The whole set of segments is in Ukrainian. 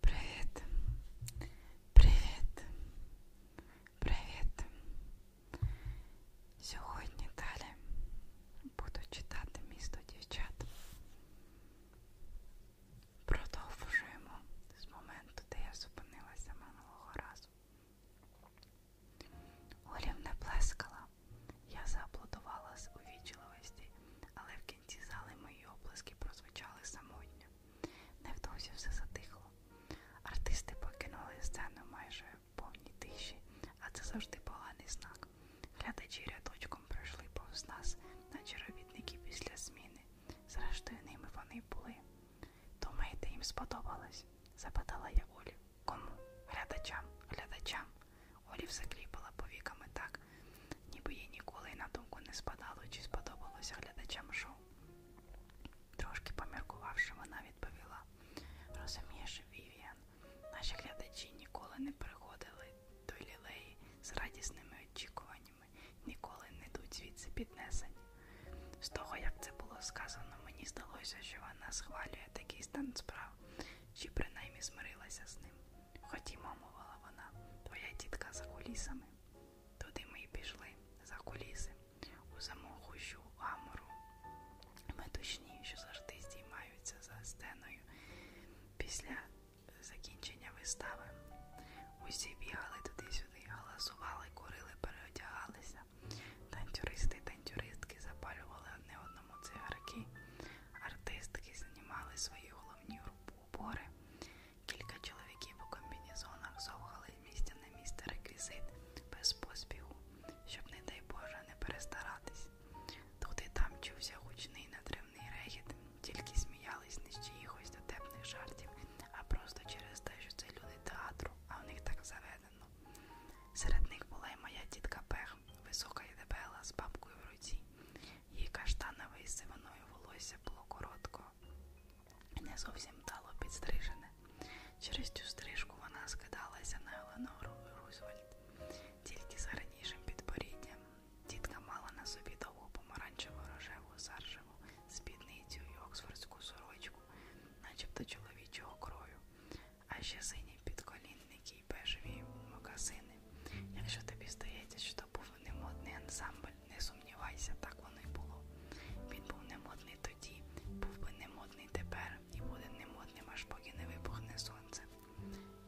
Привіт. Привіт. Привіт. Сьогодні далі буду читати місто дівчат. Продовжуємо з моменту, де я зупинилася минулого разу. Олів не плескала. Я зааплодувала з увічливості, але в кінці зали мої оплески прозвучали самотньо. Невдовзі все затихло. Артисти покинули сцену майже в повній тиші, а це завжди поганий знак. Глядачі рядочком пройшли повз нас, наче робітники після зміни. Зрештою, ними вони були. Думаєте, їм сподобалось? запитала я Олю. Кому? Глядачам, глядачам, Олі закліпала повіками так, ніби їй ніколи й на думку не спадало, чи сподобалося глядачам шоу. Трошки поміркувавши, вона відповіла Розумієш, Вівіан, наші глядачі ніколи не приходили до лілеї з радісними очікуваннями, ніколи не йдуть звідси піднесені. З того, як це було сказано, мені здалося, що вона схвалює такий стан справ, чи принаймні змирилася з ним. Ходімо, мовила вона, твоя тітка за кулісами. Туди ми й пішли, за куліси, у замогущу гамору. Метушні, що завжди здіймаються за стеною після закінчення вистави. Усі бігали туди-сюди, галасували, курили, переодягалися. Танцюристи і танцюристки запалювали одне одному цигарки. Артистки знімали свої головні убори. Кілька чоловіків у комбінізонах зовгали з місця на місце реквізит без поспіху, щоб, не дай Боже, не перестаратись. Тут і там чувся гучний натривний регіт, тільки сміялись не з чиїхось дотепних жартів, а просто через те, що це люди театру, а в них так заведено. Серед них була й моя тітка П колег. Висока і дебела, з бабкою в руці. Її каштанове і сивиною волосся було коротко, не зовсім дало підстрижене. Через цю стрижку вона скидалася на Еленору і Рузвельт. Тільки з гарнішим підборіддям тітка мала на собі довгу помаранчеву рожеву саржеву спідницю і оксфордську сорочку, начебто чоловічого крою а ще сині підколінники й бежеві мокасини. Якщо тобі здається, що то був немодний ансамбль, не сумнівайся, так воно й було. Він був немодний тоді, був би немодний тепер і буде немодним, аж поки не вибухне сонце.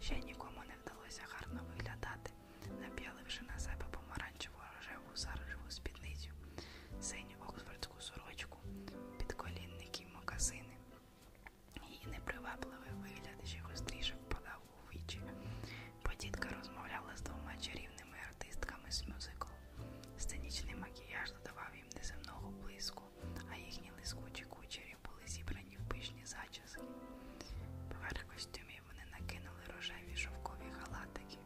Ще нікому не вдалося гарно виглядати, нап'яливши на себе помаранчеву рожеву саржеву спідницю, синю оксфордську сорочку, підколінники й мокасини. Її непривабливий вигляд ще гостріше впадав у вічі. Подітка розмовляла з двома чарівними артистками з мюзикл. Сценічний макіяж додавав їм неземного блиску, а їхні лискучі кучері були зібрані в пишні зачіски. Поверх костюмів вони накинули рожеві шовкові халатики.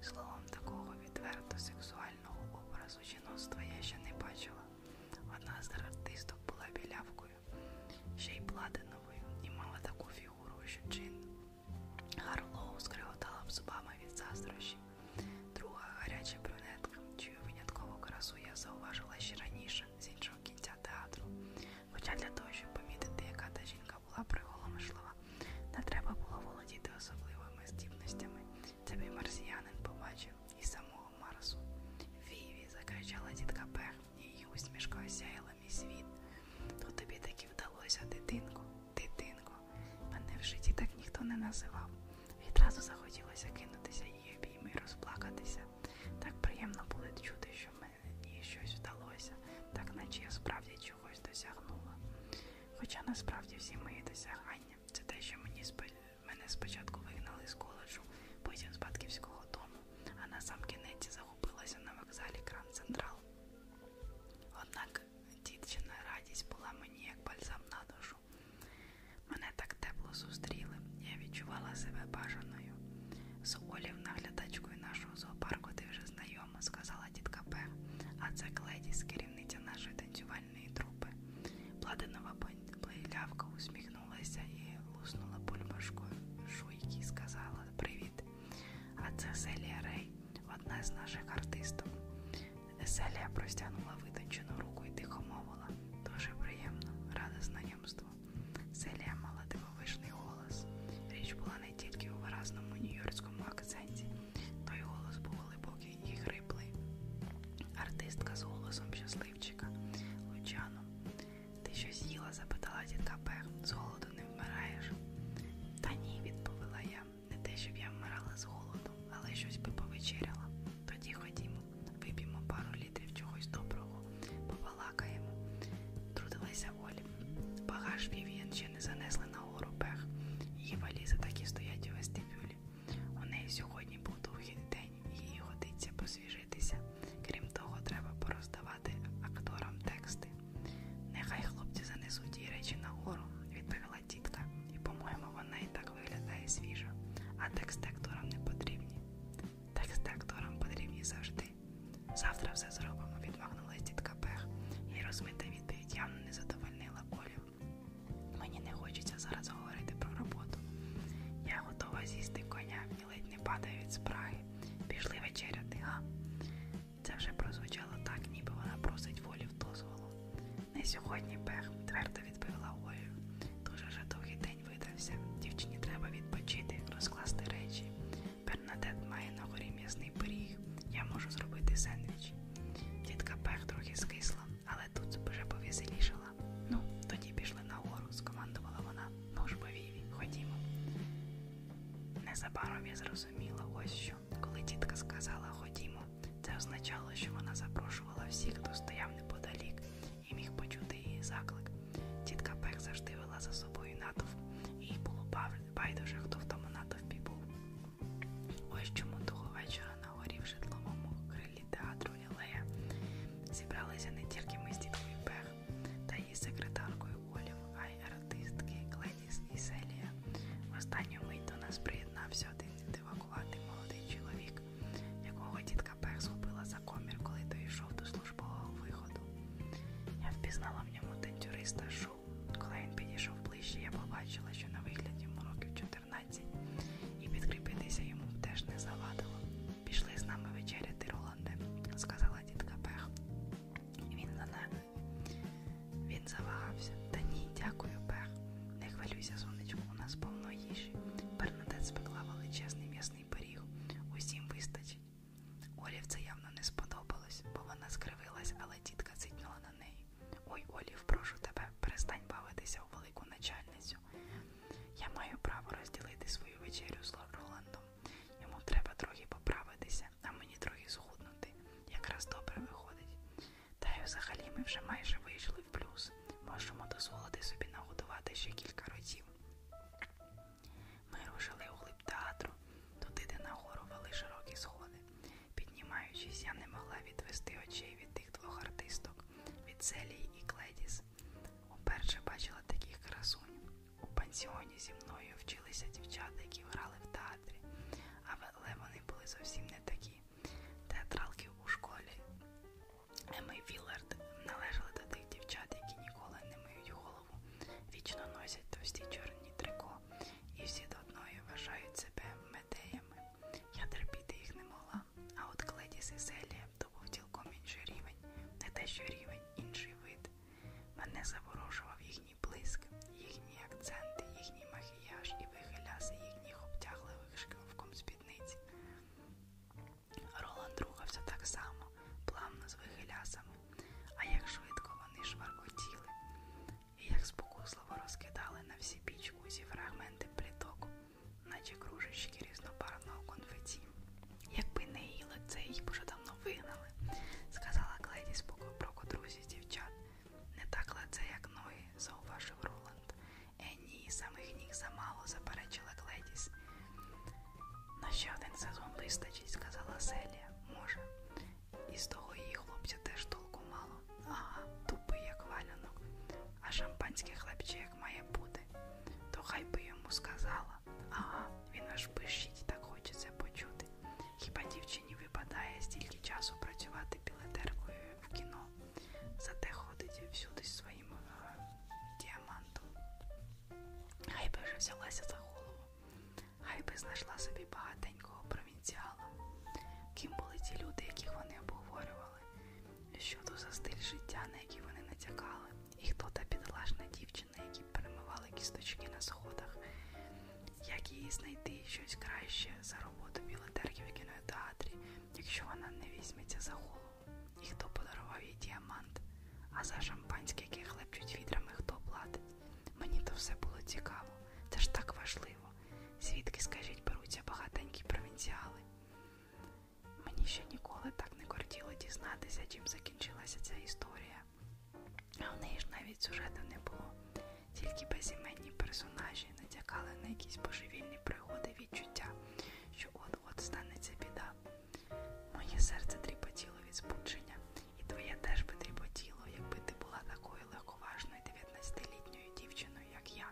Словом, такого відверто сексуального образу жіноцтва я ще не бачила. Одна з артисток була білявкою, ще й платиновою, і мала таку фігуру, що Джин Гарлоу скриготала б зубами від заздрощів. Друга гаряча брюнетка, чию виняткову красу я зауважила ще раніше з іншого кінця театру. Хоча для того, щоб помітити, яка та жінка була приголомшлива, не треба було володіти особливими здібностями Тебе марсіянин побачив і самого Марсу. Віві, закричала тітка Пех, її усмішка осяяла мій світ. То тобі таки вдалося, дитинко, дитинко. Мене в житті так ніхто не називав. Відразу захотілося кинутися її обійми і розплакатися. Так приємно було чути, що мені щось вдалося, так наче я справді чогось досягнула. Хоча насправді всі мої досягання це те, що мені сподівалося. Мене спочатку вигнали з коледжу, потім з батьківського дому, а на сам кінець загубилася на вокзалі Кран Централ. Однак дівчина радість була мені як бальзам на душу. Мене так тепло зустріли, я відчувала себе бажаною. З Олів наглядачкою нашого зоопарку ти вже знайома, сказала тітка П. А це Кледі, керівниця нашої танцювальної сигнальные трубы. Пладанова плейлявка усміхнулася і луснула бульбашкою шуйки і сказала Привіт! А це Селія Рей, одна з наших артисток. Селія простягнула витончену руку і тихо мовила. Дуже приємно, рада знайомству. Селія мала дивовижний голос. Річ була не тільки у виразному нью-йоркському акценті, той голос був глибокий тонкий і хриплий. Артистка з голосом щасливчика Лучано. Ти щось їла? запитала тітка Пер. З голоду не вмираєш? Та ні, відповіла я. Не те, щоб я вмирала з голоду, але щось би повечеряла. Тоді ходімо, вип'ємо пару літрів чогось доброго, побалакаємо. Трудилася Олі. Багаж Вів'ян ще не занесли на гору Пер. Її валізи так і стоять у вестибюлі. У неї сьогодні був довгий день, їй годиться посвіжитися. Крім того, треба пороздавати акторам тексти. Нехай хлопці занесуть її речі нагору, відповіла тітка, і, по-моєму, вона і так виглядає свіжо, а тексти акторам не потрібні. Тексти акторам потрібні завжди. Завтра все зробимо, відмахнулась тітка Пех. Її розмита відповідь явно не задовольнила колів. Мені не хочеться зараз говорити про роботу. Я готова з'їсти коня, мені ледь не падає від спраги. Пішли вечеряти, га? Це вже прозвучало так, ніби вона просить волі в дозволу. Не сьогодні Бех, твердо відповіла Ою. Дуже вже довгий день видався. Дівчині треба відпочити, розкласти речі. Бернадет має на горі м'ясний пиріг. Я можу зробити сендвіч їй. Тітка Пех трохи скисла, але тут вже повеселішала. Ну, тоді пішли нагору, скомандувала вона. Ну ж, Віві, ходімо. Незабаром я зрозуміла ось що. Коли тітка сказала ходімо, це означало, що вона запрошувала всіх, хто стояв неподалік, і міг почути її заклик. Тітка Пех завжди вела за собою натовп, і було байдуже, хто в тому натовпі був. Ось чому того вечора на горі в житловому крилі театру Лілея зібралися не тільки ми з діткою Пех та її секретаркою Олів, а й артистки Кледіс і Селія. В останню мить до нас приєднався один дивакуватий молодий чоловік, якого дітка Пех схопила за комір, коли дійшов до службового виходу. Я впізнала в ньому танцюриста Шо підійшов. Коли він підійшов ближче, я побачила, що на вигляд йому років 14, і підкріпитися йому теж не завадило. Пішли з нами вечеряти, Роланде, сказала тітка Пех. Він за нами. Він завагався. Та ні, дякую, Пех. Не хвилюйся, сонечко, у нас повно їжі. Бернадет спекла величезний м'ясний пиріг. Усім вистачить. Олів це явно не сподобалось, бо вона скривилась, але тітка цитнула на втомлений. Ой, Олів, прошу тебе, перестань бавитися у велику начальницю. Я маю право розділити свою вечерю з Роландом. Йому треба трохи поправитися, а мені трохи схуднути. Якраз добре виходить. Та й взагалі ми вже майже вийшли в плюс. Можемо дозволити собі нагодувати ще кілька ротів. Ми рушили у глиб театру, туди, де нагору вели широкі сходи. Піднімаючись, я не могла відвести очей від тих двох артисток від Селії і Кледіс. Уперше бачила таких красунь. У пансіоні зі мною вчилися дівчата, які грали в театрі, але вони були зовсім не такі. Театралки у школі Емми Віллард належали до тих дівчат, які ніколи не миють голову голову. Вічно носять товсті чорні трико, і всі до одної вважають себе медеями. Я терпіти їх не могла, а от Кледіс і Селія то був цілком інший рівень, не те, що рівень, інший вид. Мене заворожував їхній блиск, їхні акценти, їхній макіяж і вихиляси їхніх обтягливих шкафком спідниць. Роланд рухався так само, плавно з вихилясами, а як швидко вони шваркотіли, і як спокусливо розкидали на всі пічку зі фрагменти пліток, наче кружечки різнобарвного конфеті. Якби не її лице, їх б уже давно вигнали, сказала Кледіс про котрусі дівчат. Не так лице, як ноги, зауважив Роланд. Е, ні, самих ніг замало, заперечила Кледіс. На ще один сезон вистачить, сказала Селія. Може. І з того її хлопця теж толку мало. Ага, тупий, як валянок, а шампанське хлебче як має бути. То хай би йому сказала. Ага, він аж пишіть, так хочеться почути. Хіба дівчині випадає стільки часу працювати білетеркою в кіно? Зате ходить всюди своїм е, діамантом. Хай би вже взялася за голову. Хай би знайшла собі багатенького провінціала. Ким були ті люди, яких вони обговорювали, що то за стиль життя, на який вони натякали, і хто та підлажна дівчина, які перемивали кісточки на сходах, як їй знайти щось краще за роботу білетерків в кінотеатрі, якщо вона не візьметься за голову, і хто подарував їй діамант. А за шампанське, яке хлебчуть відрами, хто платить. Мені то все було цікаво, це ж так важливо. Звідки, скажіть, беруться багатенькі провінціали? Мені ще ніколи так не кортіло дізнатися, чим закінчилася ця історія. А в неї ж навіть сюжету не було. Тільки безіменні персонажі натякали на якісь божевільні пригоди відчуття, що от-от станеться біда. Моє серце тріпотіло від збудження, і твоє теж би тріпотіло, якби ти була такою легковажною 19-літньою дівчиною, як я.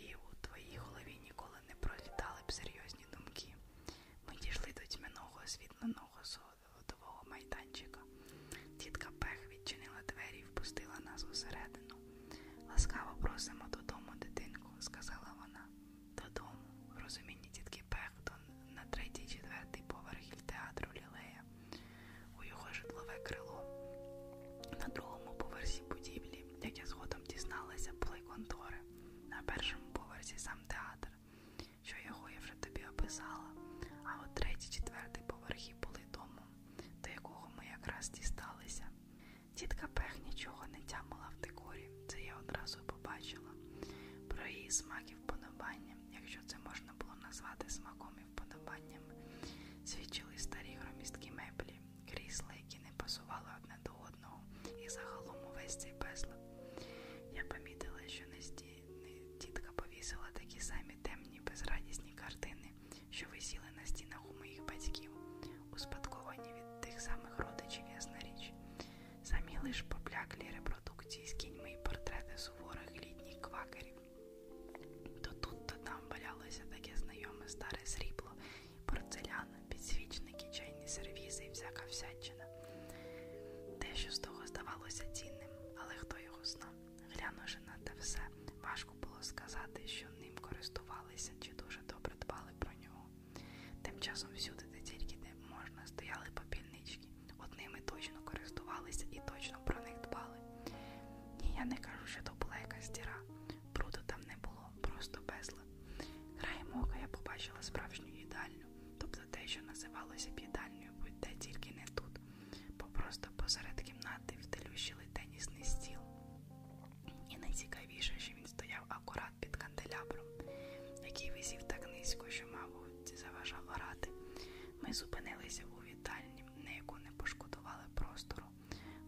І у твоїй голові ніколи не пролітали б серйозні думки. Ми дійшли до тьмяного освітленого содового майданчика. Тітка Пех відчинила двері і впустила нас усередину. Ласкаво просимо додому, дитинку, сказала вона додому. Розумінні тітки Пехтон на третій-четвертий поверх театру Лілея у його житлове крило. На другому поверсі будівлі, як я згодом дізналася, були контори. На першому поверсі сам театр, що його я вже тобі описала. А от третій-четвертий поверхи були домом, до якого ми якраз дісталися. Тітка Пех нічого не тямила в декорі це я одразу побачила. Про її смак і вподобання, якщо це можна було назвати смаком і вподобанням, свідчили старі громісткі меблі, крісла, які не пасували одне до одного, і загалом увесь цей безлад. Я помітила, що не тітка повісила такі самі темні, безрадісні картини, що висіли на стінах у моїх батьків, успадковані від тих самих родичів ясна річ. Самі лиш побляклі репродукції з кіньми і портрети суворих літніх квакерів. То тут, то там валялося таке знайоме старе срібло, порцелян, підсвічники, чайні сервізи і всяка всячина. Те, що з того здавалося цінним, але хто його знав, глянувши на те все, важко було сказати, що ним користувалися чи дуже добре дбали про нього. Тим часом всюди, де тільки не можна, стояли попільнички. Одними точно користувалися і точно про них дбали. Ні, я не кажу, що то була якась діра. Пруду там не було, просто безла. Краєм ока я побачила справжню їдальню, тобто те, що називалося їдальнею, будь де тільки не тут, бо просто посеред кімнати втелющили тенісний стіл. І найцікавіше, що він стояв акурат під канделябром, який висів так низько, що, мабуть, заважав грати. Ми зупинилися у вітальні, на яку не пошкодували простору.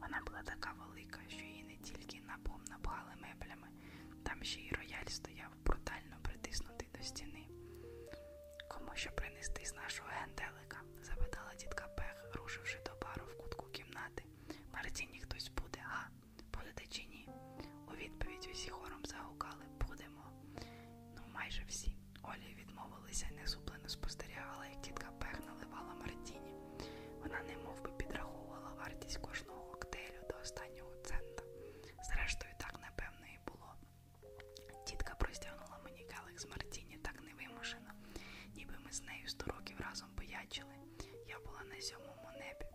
Вона була така велика, що її не тільки напом напхали меблями, там ще й рояль стояв брутально притиснутий до стіни. Кому що принести з нашого генделика? запитала тітка Пех, рушивши до бару в кутку кімнати. Марцінні хтось буде, а? Будете чи ні? У відповідь усі хором загукали Будемо. Ну, майже всі. Олі відмовилися і несуплено спостерігала, як тітка Пех наливала Мартіні. Вона немов би підраховувала вартість кожного коктейлю до останнього цента. Зрештою, так, напевно, і було. Тітка простягнула мені келих з Мартіні так невимушено, ніби ми з нею сто років разом боячили. Я була на сьомому небі,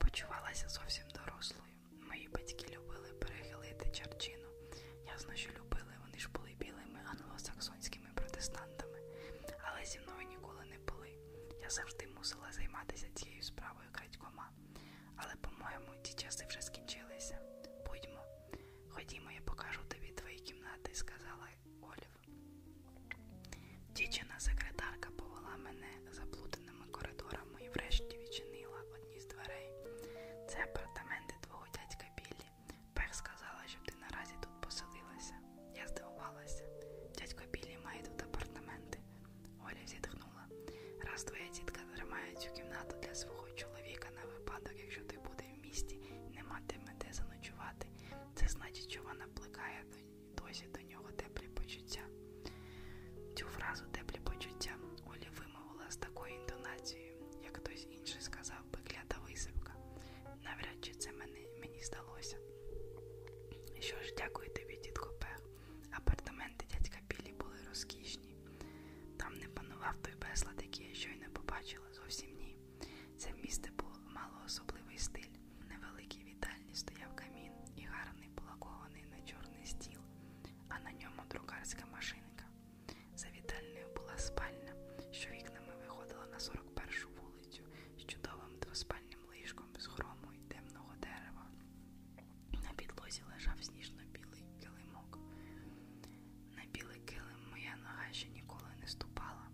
почувалася зовсім дорослою. Мої батьки любили перехилити чарчину. Ясно, що любили, вони ж були білими англосаксонськими протестантами, але зі мною ніколи не були. Я завжди мусила займатися цією справою крадькома. Але, по-моєму, ті часи вже скінчилися. Будьмо, ходімо, я покажу тобі твої кімнати, сказала Оля. Дівчина секретарка повела мене заплутаними коридорами і врешті відчинила одні з дверей. Це апартаменти твого дядька Біллі. Пех сказала, щоб ти наразі тут поселилася. Я здивувалася. Дядько Біллі має тут апартаменти. Оля зітхнула. Раз твоя тітка тримає цю кімнату для свого чоловіка на випадок, якщо ти буде в місті і не матиме де заночувати сказати. Це значить, що вона плекає досі до нього теплі почуття. Цю фразу теплі почуття Олі вимовила з такою інтонацією, як хтось інший сказав би клята висипка. Навряд чи це мені, мені здалося. Що ж, дякую тобі, дідко Пех. Апартаменти дядька Білі були розкішні. Там не панував той безлад, який я щойно побачила, зовсім ні. Це місце було, мало особливий стиль. В невеликій вітальні стояв камін і гарний полакований на чорний стіл, а на ньому друкарська машинка. За вітальною була спальня, що вікнами виходила на 41-шу вулицю з чудовим двоспальним ліжком з хрому і темного дерева. На підлозі лежав сніжно-білий килимок. На білий килим моя нога ще ніколи не ступала.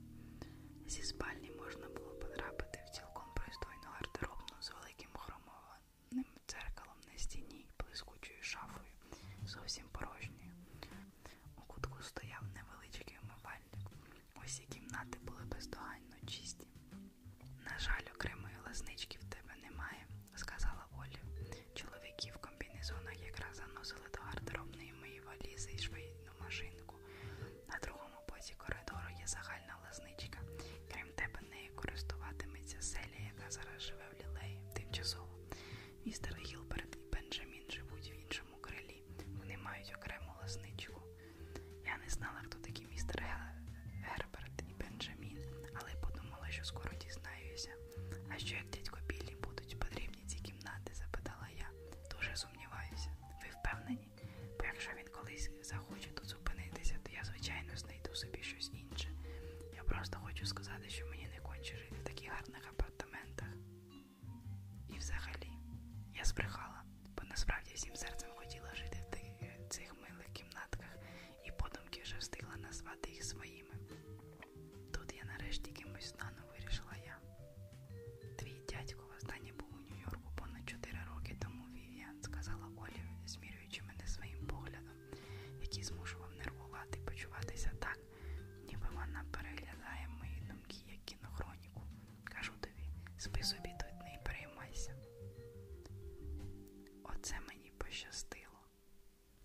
Зі спальні можна було потрапити в цілком пристойну гардеробну з великим хромованим дзеркалом на стіні і блискучою шафою, зовсім порожньою. У кутку стояв невеличкий умивальник. Усі кімнати були бездоганно чисті. На жаль, окремої лазнички в тебе немає, сказала Олі. Чоловіки в комбінезонах якраз заносили до гардеробної мої валізи і швейну машинку. На другому боці коридору є загальна лазничка. Крім тебе, нею користуватиметься селі, яка зараз живе в лілеї тимчасово. Містер Гілберт і Бенджамін живуть в іншому крилі. Вони мають окрему лазничку. Я не знала, хто такі містер Герберт і Бенджамін, але подумала, що скоро дізнаюся. А що як дядько Біллі будуть потрібні ці кімнати? запитала я. Дуже сумніваюся. Ви впевнені? Бо якщо він колись захоче тут зупинитися, то я, звичайно, знайду собі щось інше. Я просто хочу сказати, що мені не конче жити в таких гарних апартаментах. І взагалі, я збрехала, бо насправді всім серцем хотіла жити в тих, цих милих кімнатках, і подумки вже встигла назвати їх своїми. Тут я нарешті кимось стану вирішила я. Твій дядько востаннє був у Нью-Йорку понад 4 роки тому Вів'ян, сказала Олі, змірюючи мене своїм поглядом, який змушував нервувати і почуватися так, ніби вона переглядає мої думки як кінохроніку. Кажу тобі, спи собі тут не переймайся. Оце мені пощастило.